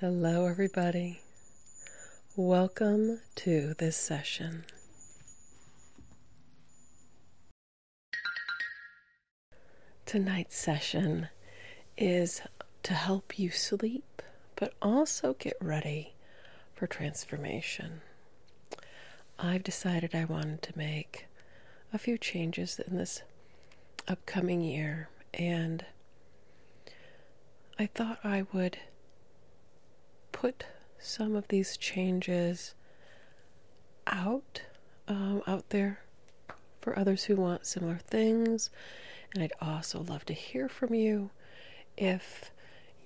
Hello, everybody. Welcome to this session. Tonight's session is to help you sleep, but also get ready for transformation. I've decided I wanted to make a few changes in this upcoming year, and I thought I would put some of these changes out um, out there for others who want similar things, and I'd also love to hear from you if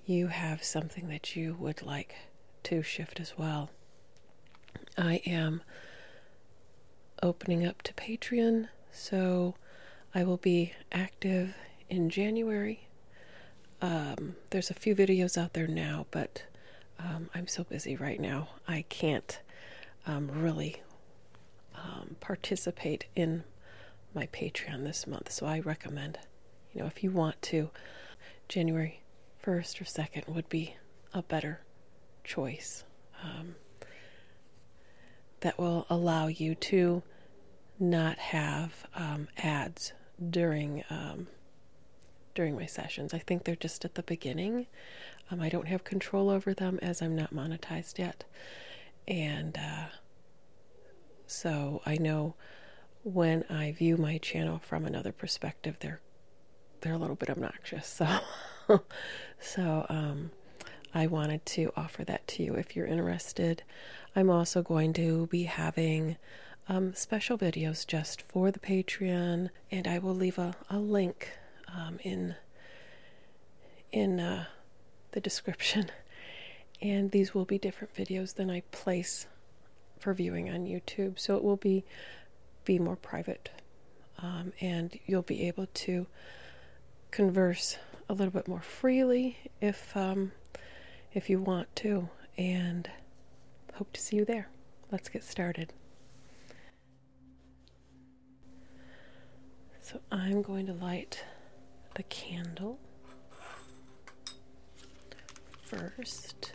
you have something that you would like to shift as well. I am opening up to Patreon, so I will be active in January. Um, there's a few videos out there now, but um, I'm so busy right now, I can't um, really participate in my Patreon this month. So I recommend, you know, if you want to, January 1st or 2nd would be a better choice um, that will allow you to not have um, ads during um, during my sessions. I think they're just at the beginning. I don't have control over them as I'm not monetized yet, and uh, so I know when I view my channel from another perspective, they're they're a little bit obnoxious. So so I wanted to offer that to you if you're interested. I'm also going to be having um, special videos just for the Patreon, and I will leave a, link um, in in uh, the description. And these will be different videos than I place for viewing on YouTube, so it will be be more private um, and you'll be able to converse a little bit more freely if um, if you want to. And hope to see you there. Let's get started. So I'm going to light the candle first.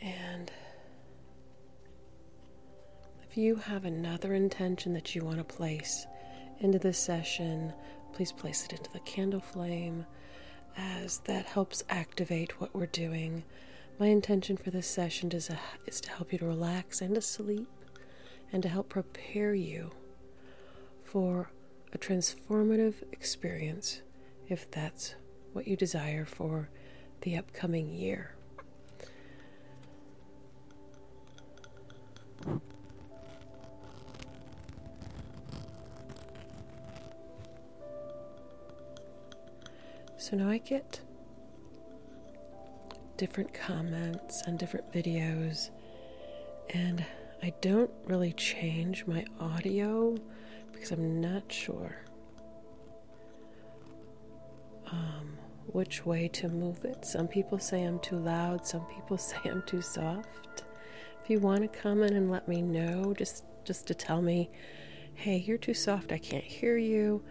And if you have another intention that you want to place into this session, please place it into the candle flame as that helps activate what we're doing. My intention for this session is, uh, is to help you to relax and to sleep and to help prepare you for a transformative experience if that's what you desire for the upcoming year. So now I get different comments and different videos and I don't really change my audio because I'm not sure um, which way to move it. Some people say I'm too loud, some people say I'm too soft. If you want to comment and let me know, just just to tell me, hey, you're too soft, I can't hear you.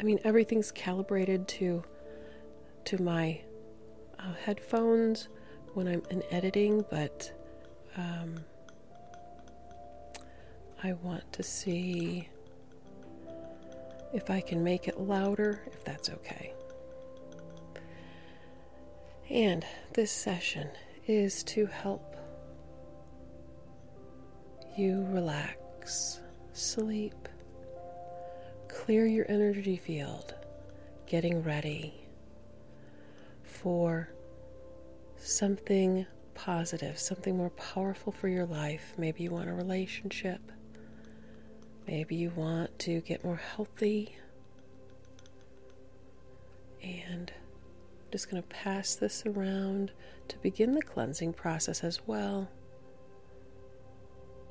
I mean, everything's calibrated to to my uh, headphones when I'm in editing, but um, I want to see if I can make it louder, if that's okay. And this session is to help you relax, sleep, clear your energy field, getting ready for something positive, something more powerful for your life. Maybe you want a relationship. Maybe you want to get more healthy. And just going to pass this around to begin the cleansing process as well,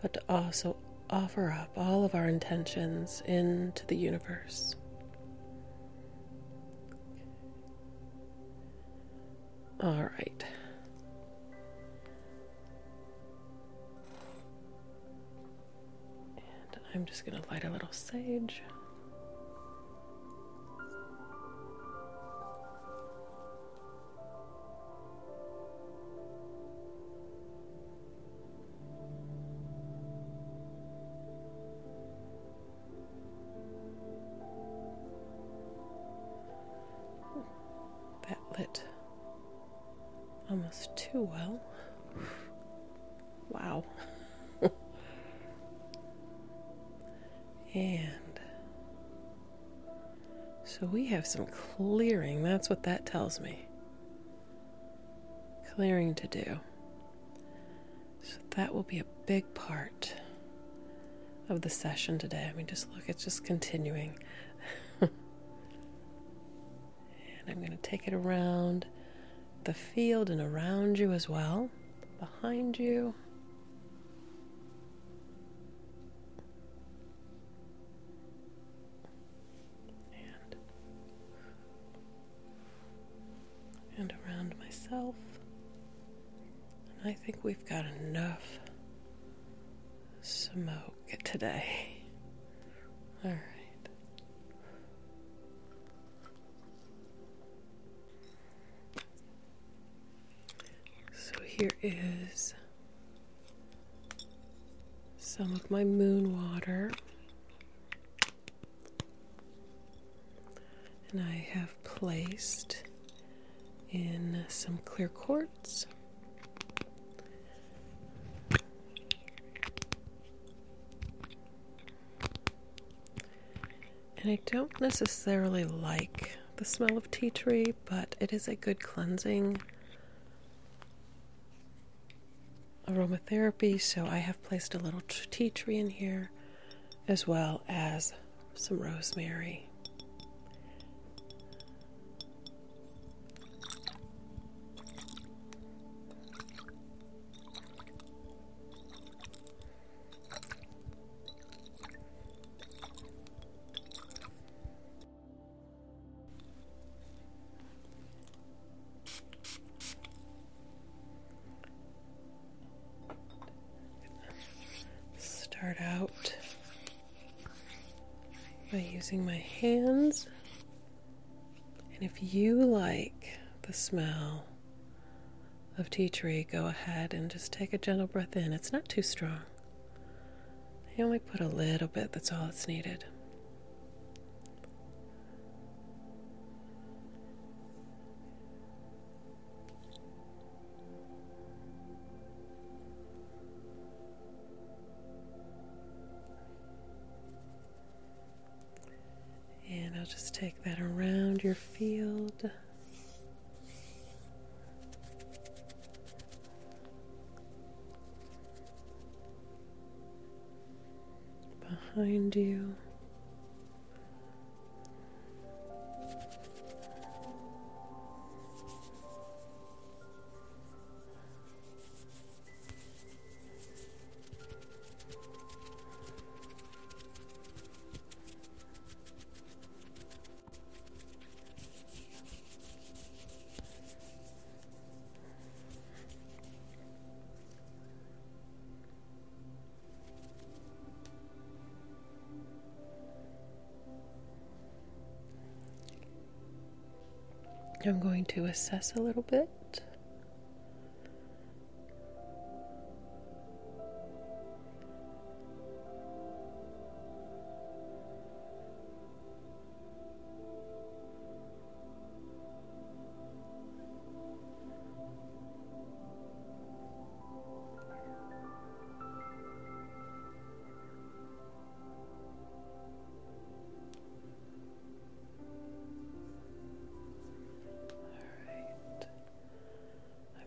but to also offer up all of our intentions into the universe. All right. And I'm just going to light a little sage. That lit almost too well. Wow. and so we have some clearing. That's what that tells me clearing to do. So that will be a big part of the session today. I mean, just look, it's just continuing. and I'm going to take it around the field and around you as well, behind you and and around myself. And I think we've got enough smoke today. All right. So here is some of my moon water. And I have placed in some clear quartz. And I don't necessarily like the smell of tea tree, but it is a good cleansing aromatherapy, so I have placed a little tea tree in here as well as some rosemary. Start out by using my hands. And if you like the smell of tea tree, go ahead and just take a gentle breath in. It's not too strong. I only put a little bit, that's all it's needed. And I'll just take that around your field behind you. I'm going to assess a little bit.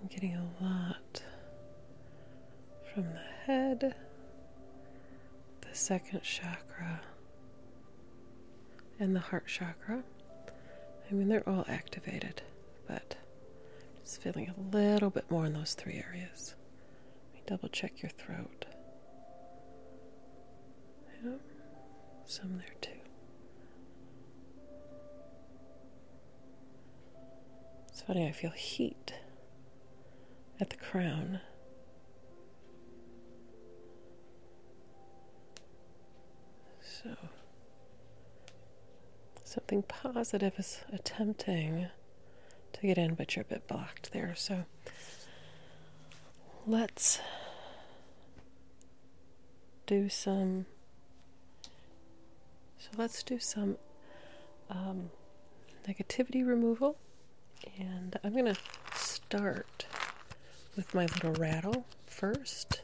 I'm getting a lot from the head, the second chakra and the heart chakra. I mean, they're all activated, but I'm just feeling a little bit more in those three areas. Let me double check your throat. Yeah, some there too. It's funny, I feel heat at the crown so, something positive is attempting to get in, but you're a bit blocked there. So, let's do some. So, let's do some um, negativity removal and I'm going to start with my little rattle first.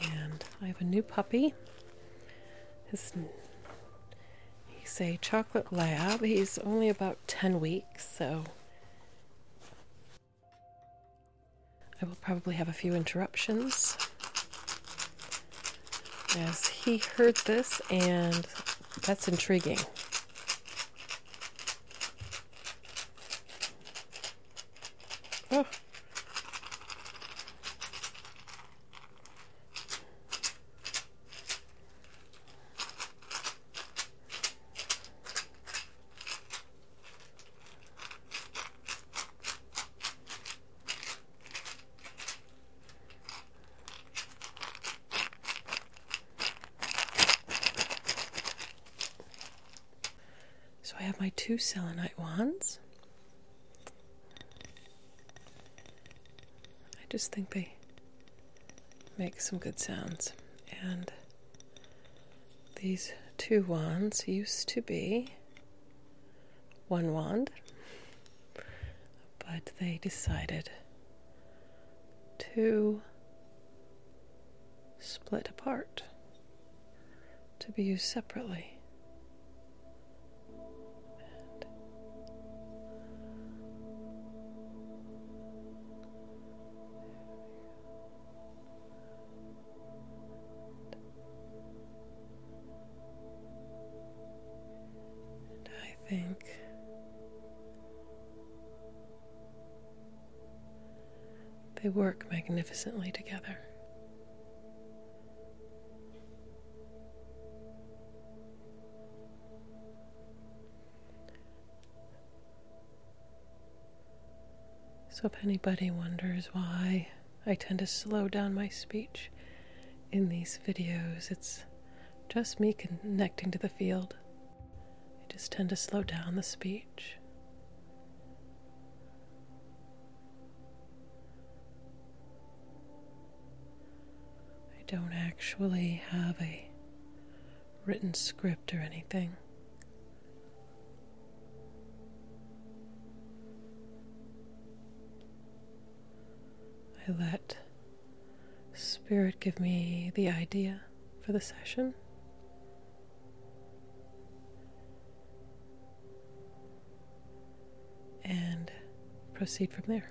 And I have a new puppy he's a chocolate lab. He's only about 10 weeks, so I will probably have a few interruptions. As he heard this, and that's intriguing. Oh. So I have my two selenite wands. I just think they make some good sounds. And these two wands used to be one wand, but they decided to split apart to be used separately. And I think they work magnificently together. So, if anybody wonders why I tend to slow down my speech in these videos, it's just me connecting to the field. I just tend to slow down the speech. I don't actually have a written script or anything. I let Spirit give me the idea for the session and proceed from there.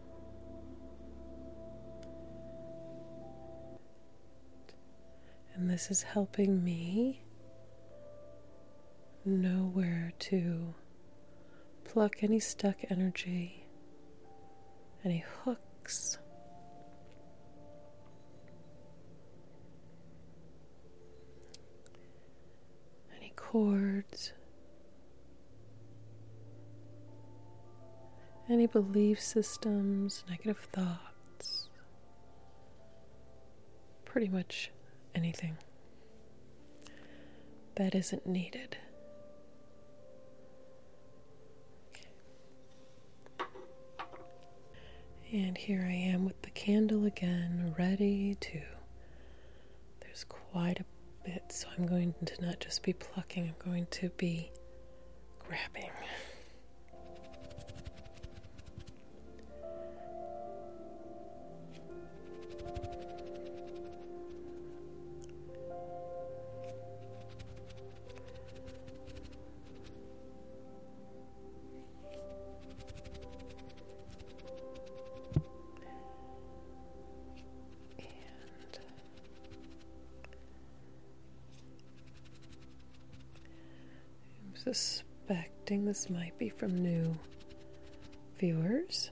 And this is helping me know where to pluck any stuck energy, any hooks. any Cords any belief systems, negative thoughts, pretty much anything that isn't needed. And here I am with the candle again, ready to. There's quite a bit, so I'm going to not just be plucking, I'm going to be grabbing. And I'm suspecting this might be from new viewers,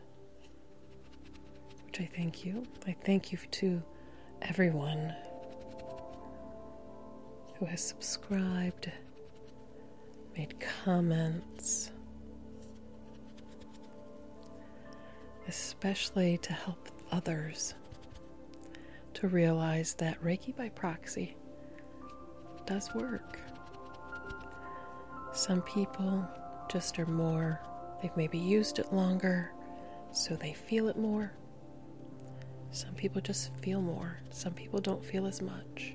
which I thank you. I thank you to everyone who has subscribed, made comments, especially to help others to realize that Reiki by proxy does work. Some people just are more, they've maybe used it longer, so they feel it more. Some people just feel more, some people don't feel as much.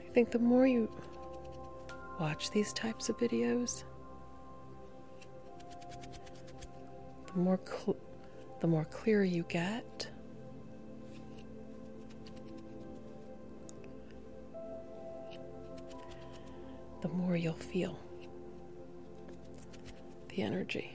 I think the more you watch these types of videos, the more the more clear you get, the more you'll feel the energy.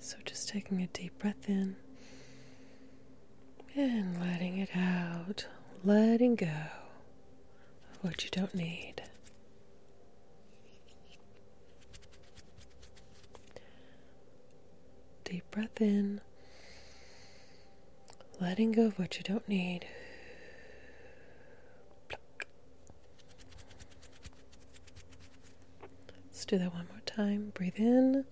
So, just taking a deep breath in and letting it out, letting go of what you don't need. Deep breath in, letting go of what you don't need. Let's do that one more time. Breathe in.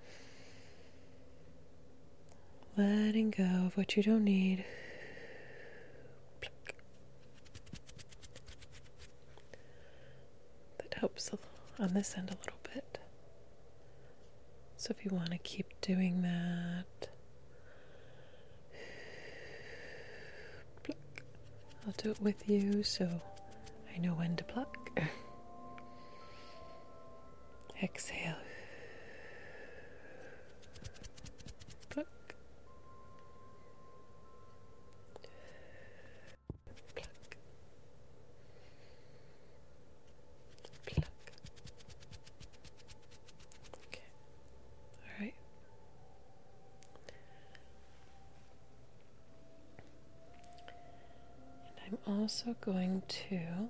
Letting go of what you don't need. That helps on this end a little bit. So if you want to keep doing that, I'll do it with you so I know when to pluck. Exhale. Pluck. Pluck. Pluck. Okay. All right. I'm also going to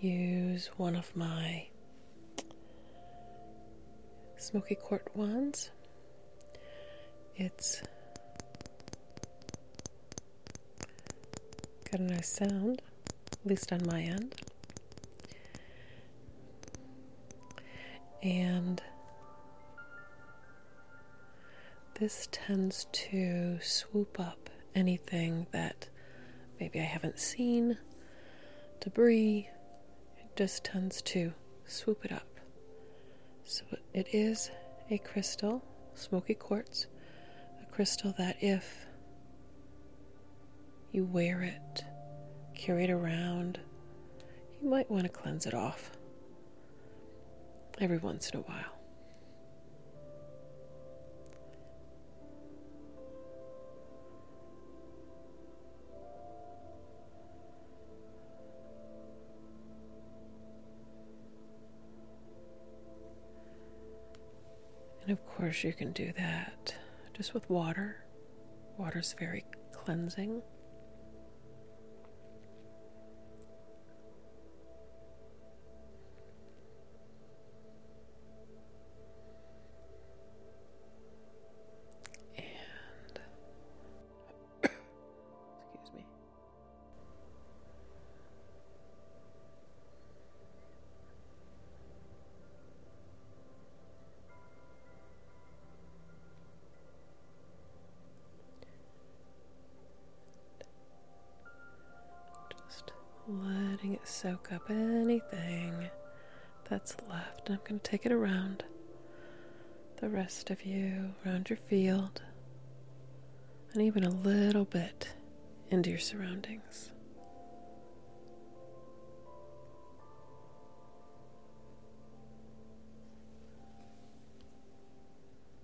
use one of my smoky quart wands. It's got a nice sound, at least on my end. And this tends to swoop up anything that maybe I haven't seen, debris. It just tends to swoop it up. So it is a crystal, smoky quartz, a crystal that if you wear it, carry it around, you might want to cleanse it off every once in a while. And of course, you can do that just with water. Water is very cleansing. And excuse me. Just letting it soak up anything that's left. I'm going to take it around the rest of you, around your field, and even a little bit into your surroundings.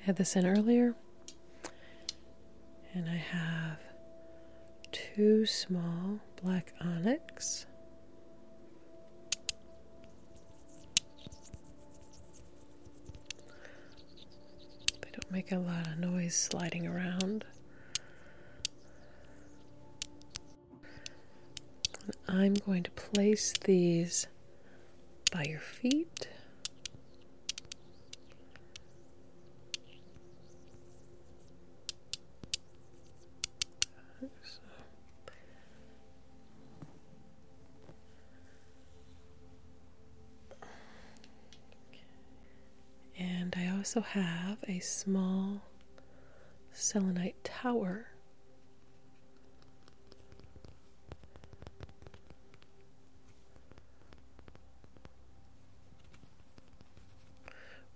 I had this in earlier, and I have two small black onyx. They don't make a lot of noise sliding around. I'm going to place these by your feet. And I also have a small selenite tower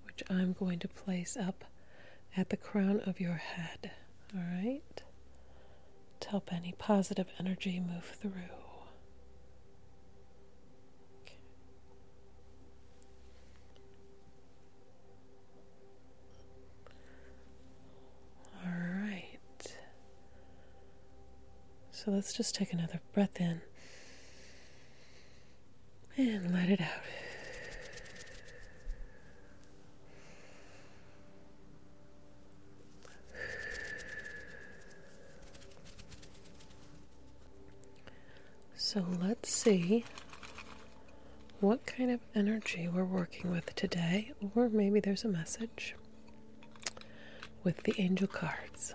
which I'm going to place up at the crown of your head. All right? To help any positive energy move through. All right. So let's just take another breath in and let it out. So let's see what kind of energy we're working with today, or maybe there's a message with the angel cards.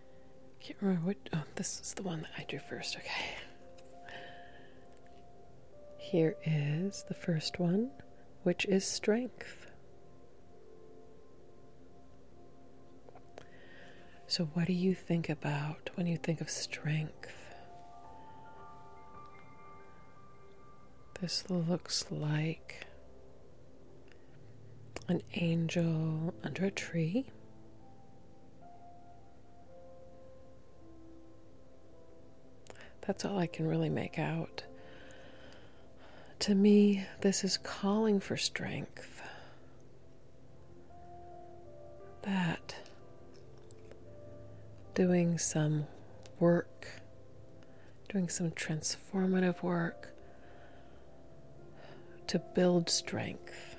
Can't remember what. Oh, this is the one that I drew first. Okay. Here is the first one, which is strength. So, what do you think about when you think of strength? This looks like an angel under a tree that's all I can really make out. To me, this is calling for strength. That doing some work, doing some transformative work, to build strength.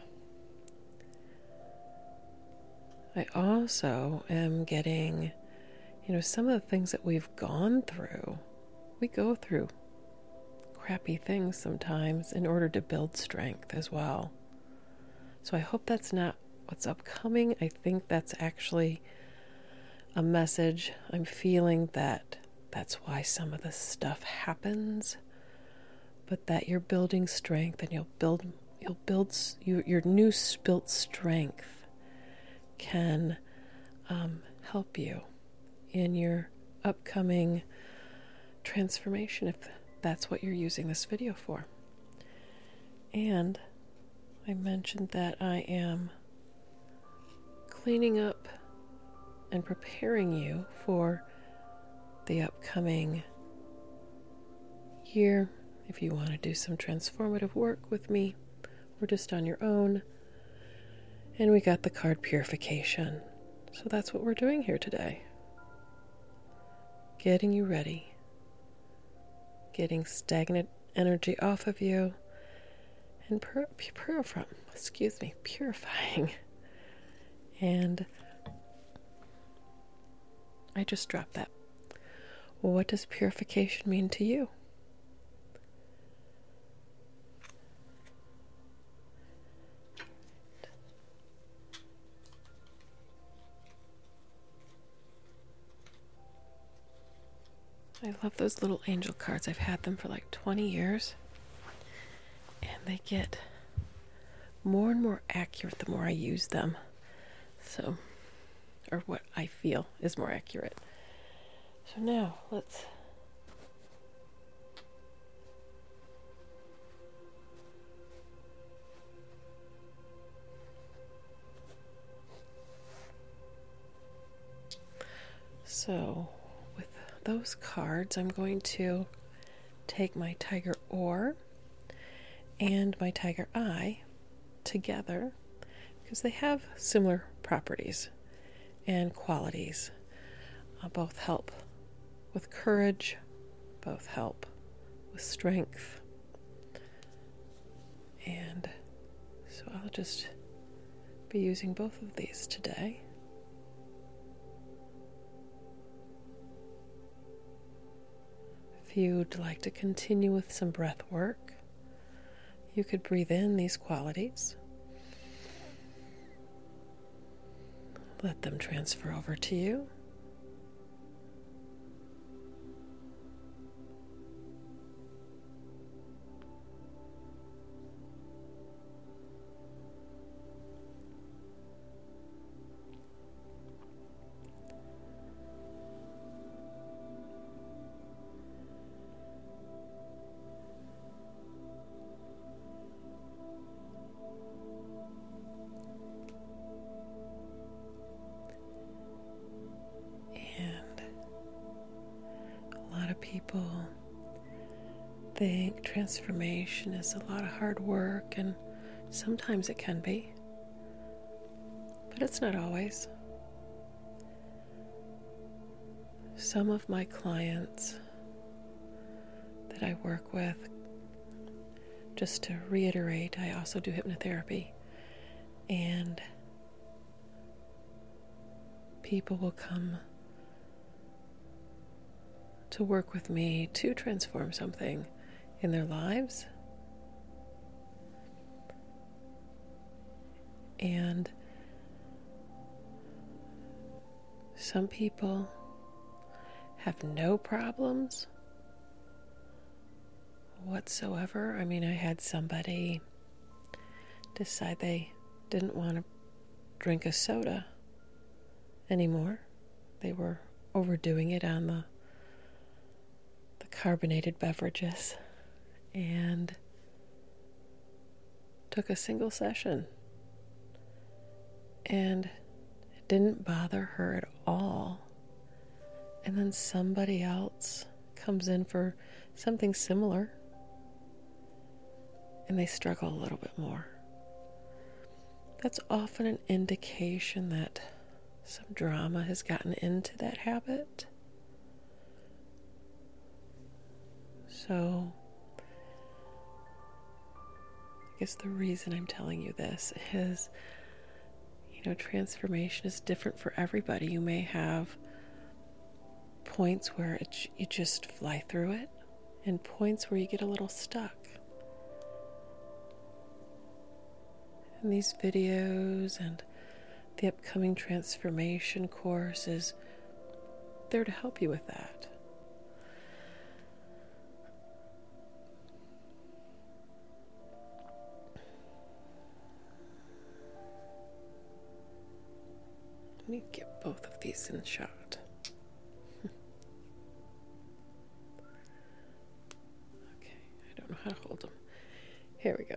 I also am getting, you know, some of the things that we've gone through. We go through crappy things sometimes in order to build strength as well. So I hope that's not what's upcoming. I think that's actually a message. I'm feeling that that's why some of the stuff happens but that you're building strength and you'll build you'll build your new built strength can um, help you in your upcoming transformation if that's what you're using this video for and i mentioned that i am cleaning up and preparing you for the upcoming year. If you want to do some transformative work with me or just on your own. And we got the card purification. So that's what we're doing here today. Getting you ready, getting stagnant energy off of you, and pur- purifying, excuse me, purifying and I just dropped that. what does purification mean to you? I love those little angel cards. I've had them for like 20 years. And they get more and more accurate the more I use them. So, or what I feel is more accurate. So now let's. So, with those cards, I'm going to take my tiger oar and my tiger eye together because they have similar properties and qualities. Uh, both help with courage, both help with strength. And so I'll just be using both of these today. If you'd like to continue with some breath work, you could breathe in these qualities. Let them transfer over to you. And a lot of people think transformation is a lot of hard work, and sometimes it can be, but it's not always. Some of my clients that I work with, just to reiterate, I also do hypnotherapy, and people will come to work with me to transform something in their lives. And some people have no problems whatsoever. I mean, I had somebody decide they didn't want to drink a soda anymore. They were overdoing it on the the carbonated beverages and took a single session. And didn't bother her at all. And then somebody else comes in for something similar and they struggle a little bit more that's often an indication that some drama has gotten into that habit. So, I guess the reason I'm telling you this is you know, transformation is different for everybody. You may have points where it, you just fly through it, and points where you get a little stuck. And these videos and the upcoming transformation course is there to help you with that. Let me get both of these in shot. Okay, I don't know how to hold them. Here we go.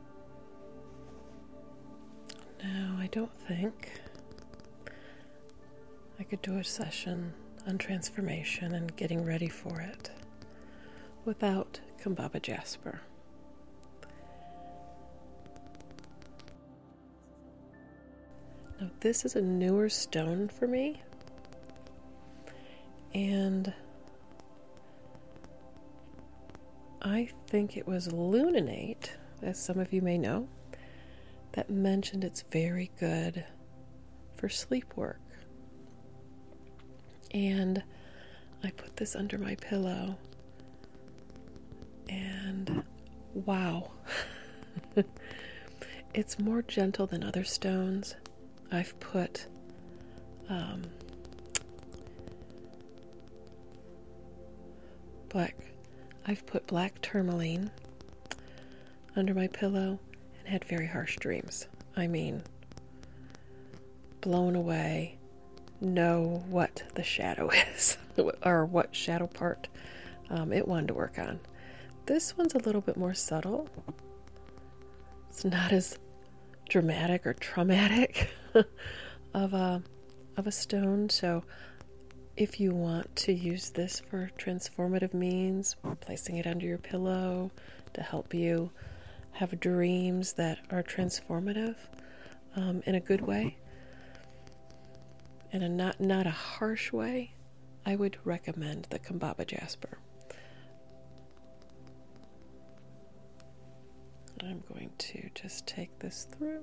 No, I don't think I could do a session on transformation and getting ready for it without Kumbaba Jasper. Now, this is a newer stone for me, and I think it was Luninite, as some of you may know, that mentioned it's very good for sleep work. And I put this under my pillow, and wow, it's more gentle than other stones. I've put um, Black. I've put black tourmaline under my pillow and had very harsh dreams. I mean, blown away, know what the shadow is or what shadow part um, it wanted to work on. This one's a little bit more subtle. It's not as dramatic or traumatic of a of a stone. So if you want to use this for transformative means, placing it under your pillow to help you have dreams that are transformative um, in a good way, in a not not a harsh way, I would recommend the Kambaba Jasper. I'm going to just take this through.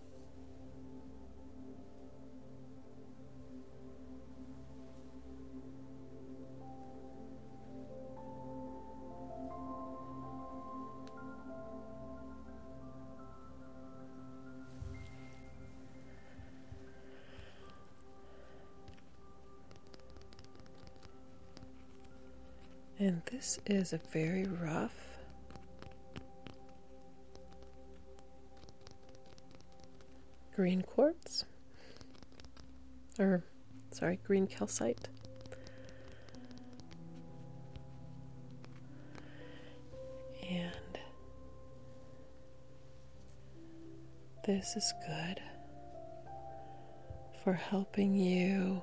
And this is a very rough green quartz, or sorry, green calcite. And this is good for helping you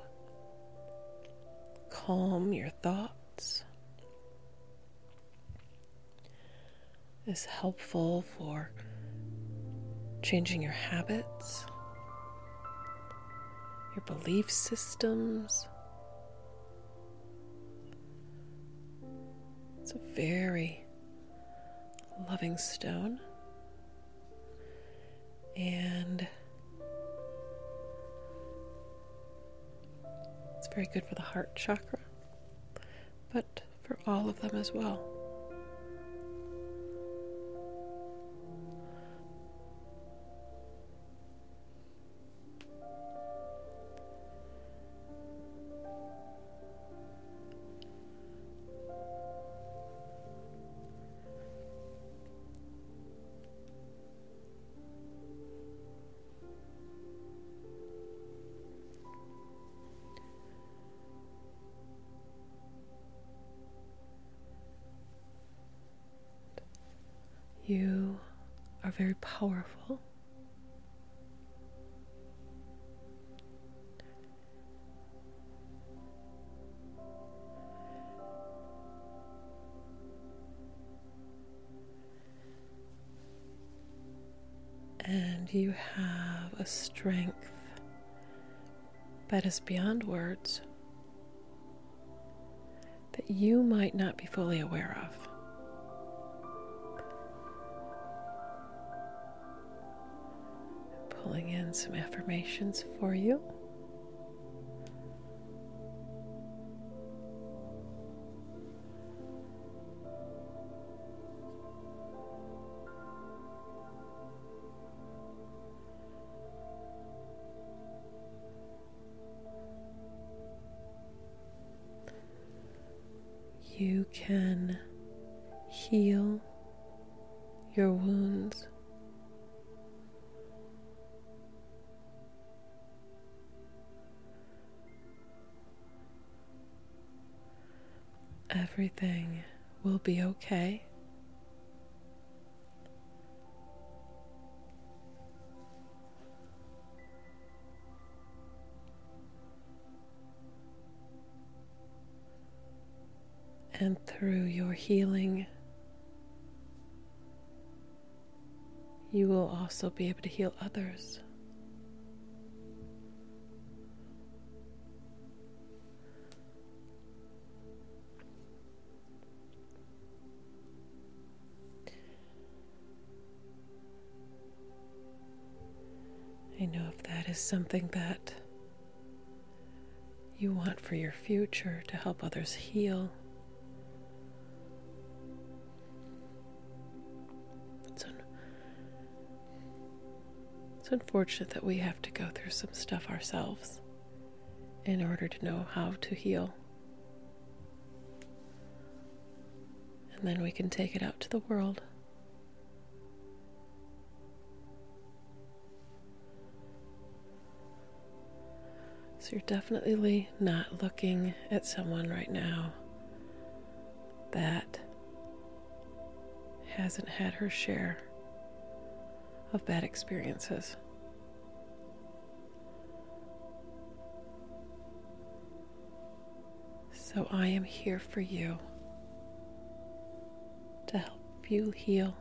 calm your thoughts is helpful for changing your habits, your belief systems. It's a very loving stone. And it's very good for the heart chakra but for all of them as well. You are very powerful. And you have a strength that is beyond words that you might not be fully aware of. Pulling in some affirmations for you. You can heal your wounds. Everything will be okay. and through your healing, you will also be able to heal others. I know if that is something that you want for your future to help others heal, it's, it's unfortunate that we have to go through some stuff ourselves in order to know how to heal. And then we can take it out to the world. So you're definitely not looking at someone right now that hasn't had her share of bad experiences. So I am here for you to help you heal,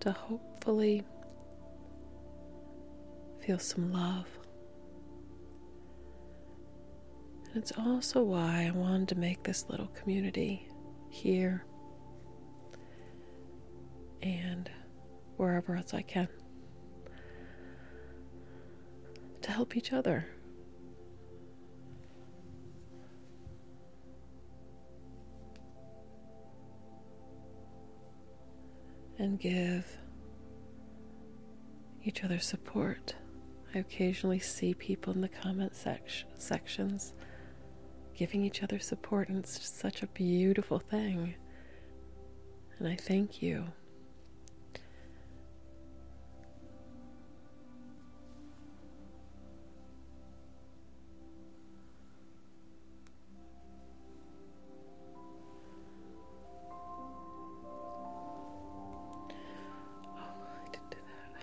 to hopefully feel some love and it's also why I wanted to make this little community here and wherever else I can to help each other and give each other support. I occasionally see people in the comment sections giving each other support, and it's such a beautiful thing. And I thank you. Oh, I didn't do that.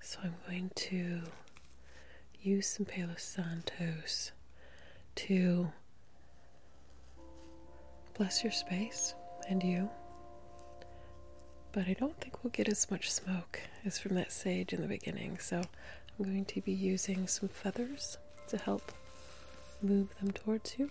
So I'm going to use some Palo Santos to bless your space and you. But I don't think we'll get as much smoke as from that sage in the beginning, so I'm going to be using some feathers to help move them towards you.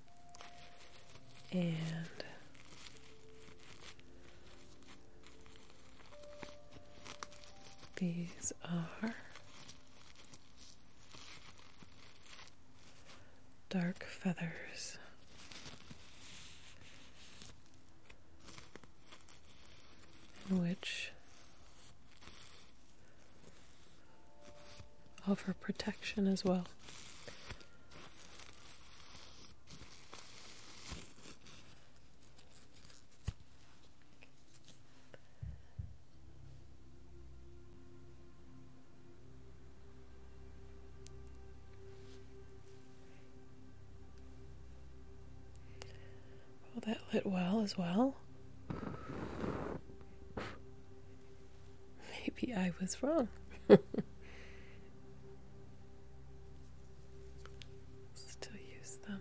and these are dark feathers. Which of her protection as well. Well, that lit well as well. Maybe I was wrong. Still use them.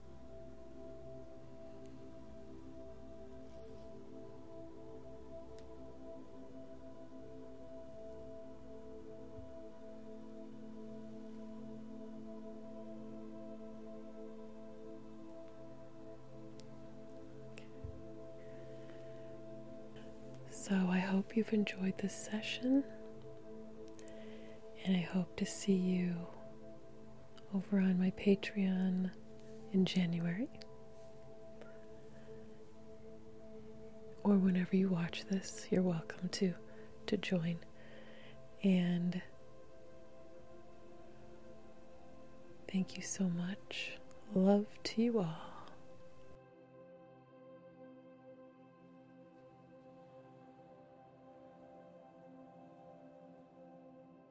So I hope you've enjoyed this session, and I hope to see you over on my Patreon in January. Or whenever you watch this, you're welcome to to join. And thank you so much. Love to you all.